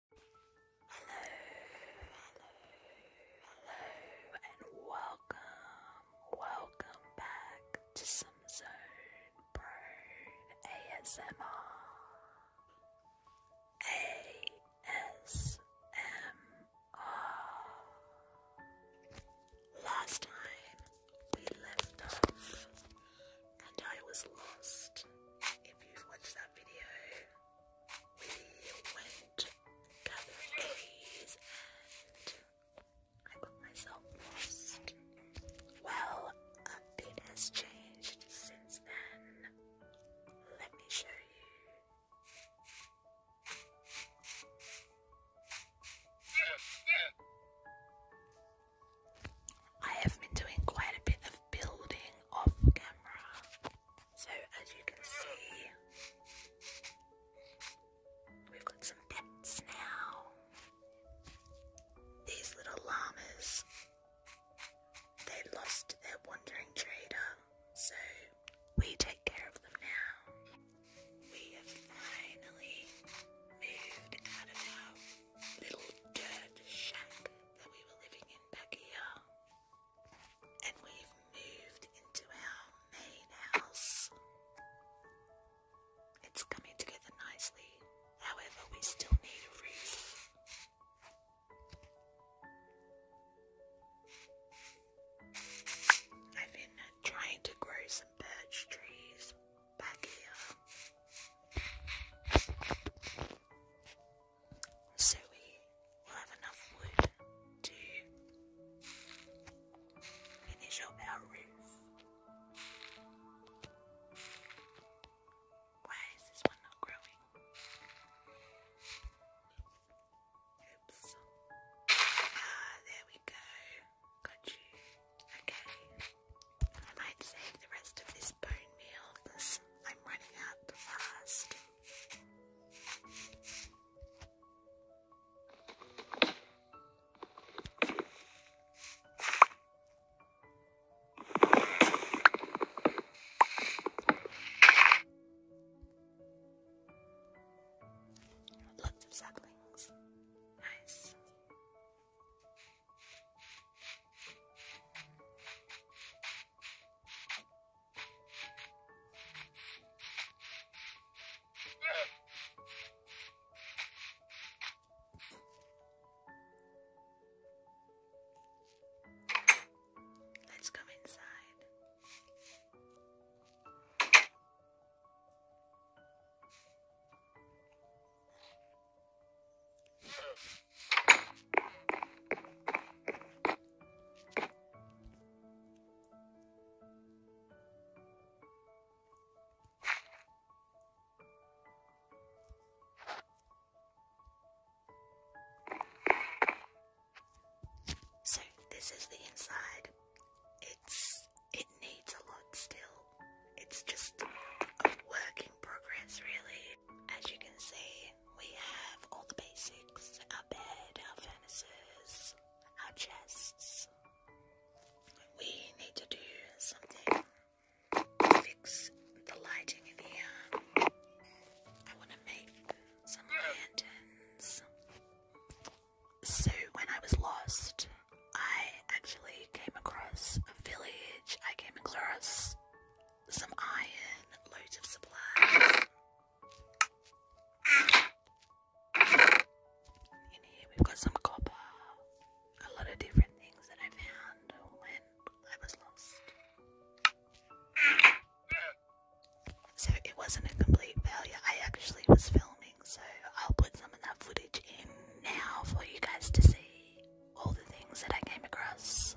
Hello, hello, hello, and welcome, welcome back to some Zone Prone ASMR. ASMR. Last time we left off, and I was lost. If you've watched video, we went gathering trees and I got myself lost. Well, a bit has changed since then. Let me show you. I have been doing quite a bit of building off camera. So, as you can see, we've got some pets now. These little llamas. They lost their wandering trader, so we take care of them now. We have finally moved out of our little dirt shack that we were living in back here. And we've moved into our main house. It's coming together nicely. However, we still need a roof. I've been trying to grow some birch trees back here. So we will have enough wood to finish up our roof. Why is this one not growing? Oops. Ah, there we go. Got you. Okay. I might save the rest of this bone meal I'm running out fast. Lots of saplings. Nice. Let's come inside. So, this is the inside. It's it needs a lot still. It's just a work in progress, really. As you can see, we have all the basics our bed, our furnaces, our chests. We need to do something fix the lighting in here. I want to make some lanterns. So, when I was lost, I actually came across a village. I came across some iron, loads of supplies. In here we've got some copper, a lot of different things that I found when I was lost. So it wasn't a complete failure. I actually was filming so I'll put some of that footage in now for you guys to see all the things that I came across.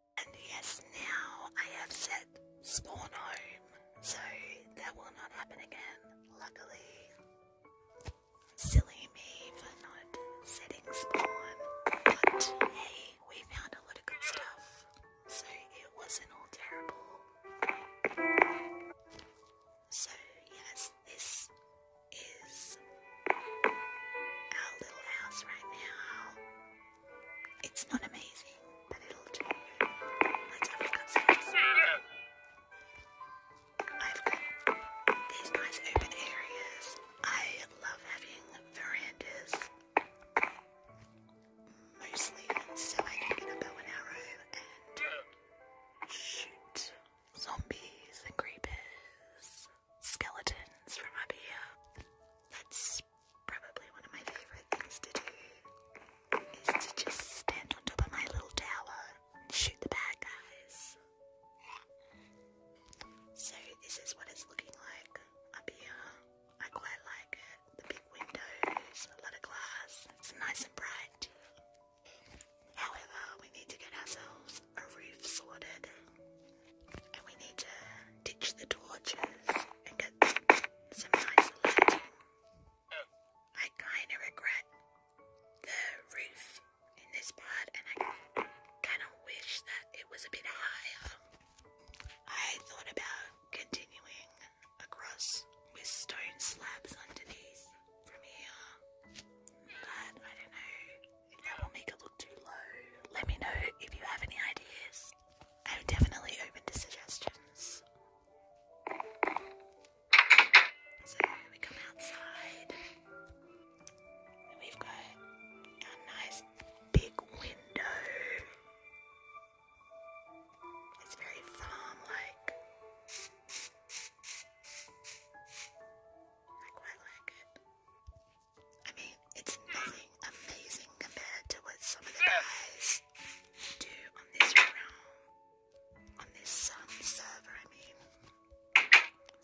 And yes, now I have set spawn home, so that will not happen again, luckily. Silly me for not setting spawn, but hey, we found a lot of good stuff, so it wasn't all terrible. So, yes, this is our little house right now. It's not amazing, but it'll do. I've got these nice open areas. I love having verandas, mostly so I can get up an arrow and shoot zombies and creepers, skeletons from up here. That's probably one of my favorite things to do is to just stand on top of my little tower and shoot the bad guys. So this is what it's looking like up here. I quite like it. The big windows, a lot of glass. It's nice and bright. However, we need to get ourselves a roof sorted. And we need to ditch the torches and get some nice lighting. I kind of regret the roof in this part, and I kind of wish that it was a bit higher. I thought about continuing across with stone slabs underneath from here, but I don't know that will make it look too low, let me know if you have any ideas. I'm definitely open to suggestions. So we come outside, we've got our nice big window. It's very farm-like. I quite like it. I mean, it's nothing amazing compared to what some of the guys do on this realm, on this um, server. I mean,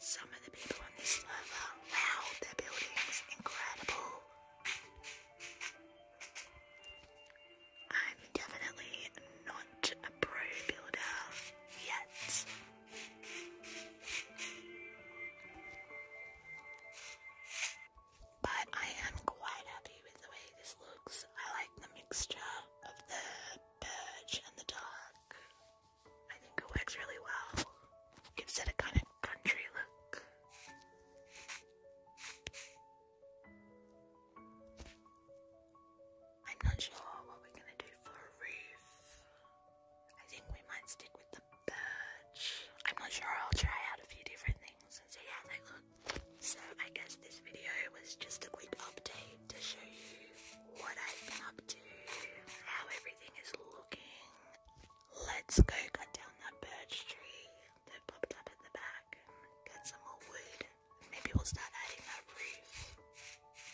some of the people on this server, wow, their building's incredible. I'm definitely not a pro builder yet. But I am quite happy with the way this looks. I like the mixture of the birch and the dark. I think it works really well. Gives it a kind of country look. I'm not sure what we're gonna do for a roof. I think we might stick with the birch. I'm not sure, I'll try out a few different things and see how they look. So, I guess this video was just a quick update to show you what I've been up to, how everything is looking. Let's go cut down that birch tree that popped up in the back get some more wood. Maybe we'll start adding that roof.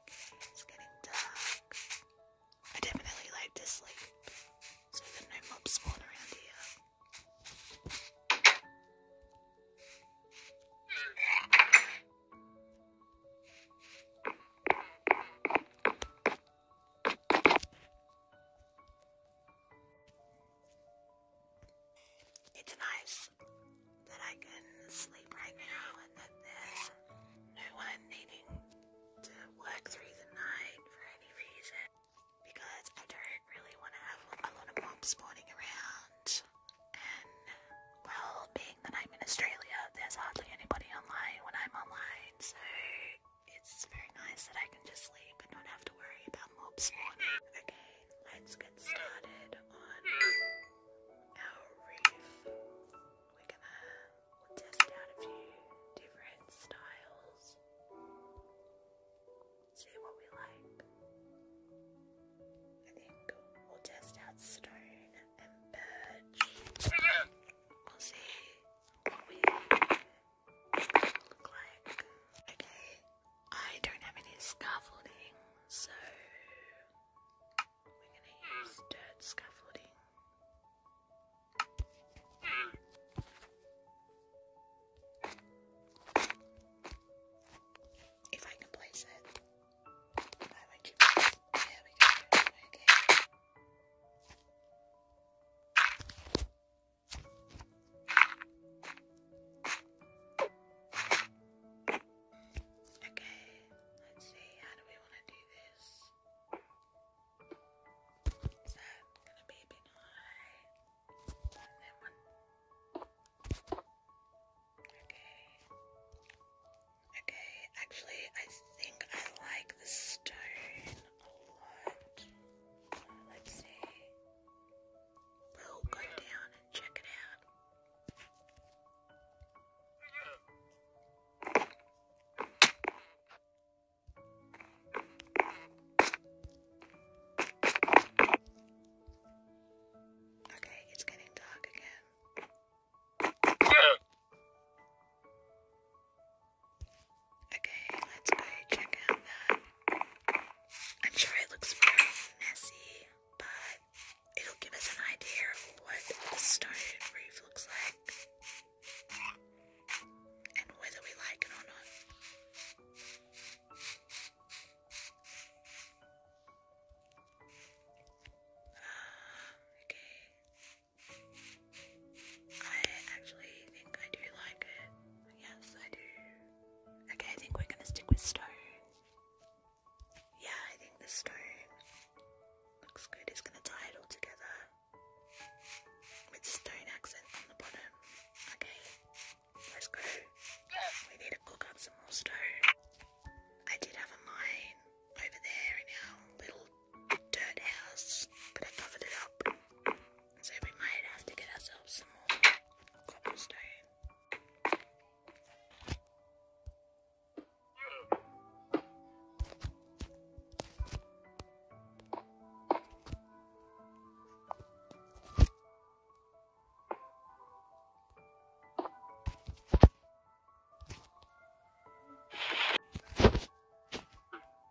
Okay, it's getting dark. I definitely like to sleep, so no mobs spawn around here. It's nice that I can sleep right now and that there's no one needing to work through the night for any reason because I don't really want to have a lot of mobs spawning around. And, well, being that I'm in Australia, there's hardly anybody online when I'm online, so it's very nice that I can just sleep and don't have to worry about mob Okay, let's get started on our roof. We're gonna test out a few different styles. See what we like. I think we'll test out stone and birch. We'll see what we Okay, I don't have any scaffolding, so we're gonna use dirt scaffolding. If I can place it. Why would you there we go. Okay. Okay, let's see, how do we want to do this? Is that gonna be a bit high? Okay. Okay, actually, I think I like the stone Let's see. We'll go down and check it out. Okay, it's getting dark again. Okay, let's go check out that. I'm sure it looks very messy, but it'll give us an idea of what the stone reef looks like and whether we like it or not. Ah, okay. I actually think I do like it. Yes, I do. Okay, I think we're gonna stick with stone. Yeah, I think the stone looks good. It's gonna tie it all together with stone accent on the bottom. Okay, let's go. We need to cook up some more stone. I did have a mine over there in our little dirt house, but I covered it up. So we might have to get ourselves some more cobblestone.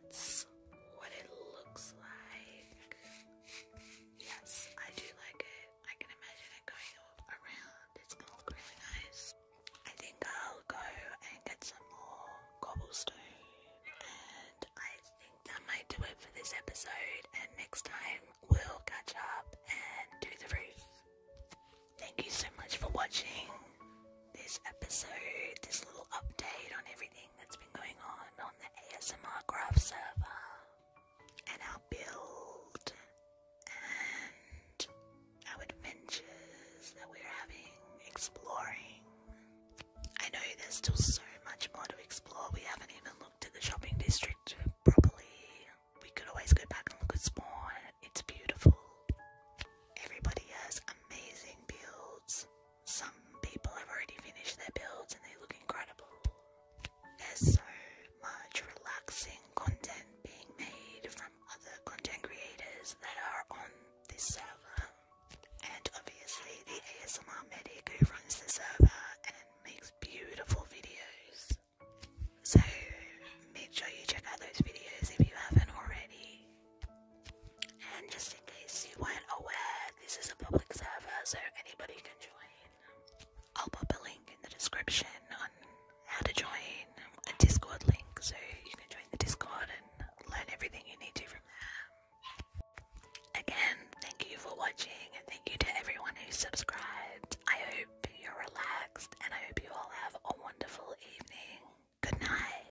that's what it looks like. Yes, I do like it. I can imagine it going around. It's gonna look really nice. I think I'll go and get some more cobblestone, and I think that might do it for this episode. And next time we'll catch up and do the roof. Thank you so much for watching this episode, this little update on everything gaming that's been going on on the ASMR Graph server, and our build, and our adventures that we're having exploring. I know there's still so much more to explore, we haven't even looked at the shopping district properly. We could always go back and look at Spawn, it's beautiful. Everybody has amazing builds. Some people have already finished their builds and they look incredible. There's so much relaxing content being made from other content creators that are on this server. And obviously, the ASMR medic who runs the server and makes beautiful videos. So, make sure you check out those videos if you haven't already. And just in case you weren't aware, this is a public server so anybody can join. I'll pop a link in the description on how to join a Discord link so you can join the Discord and learn everything you need to from there. Again, thank you for watching and thank you to everyone who subscribed. I hope you're relaxed and I hope you all have a wonderful evening. Good night.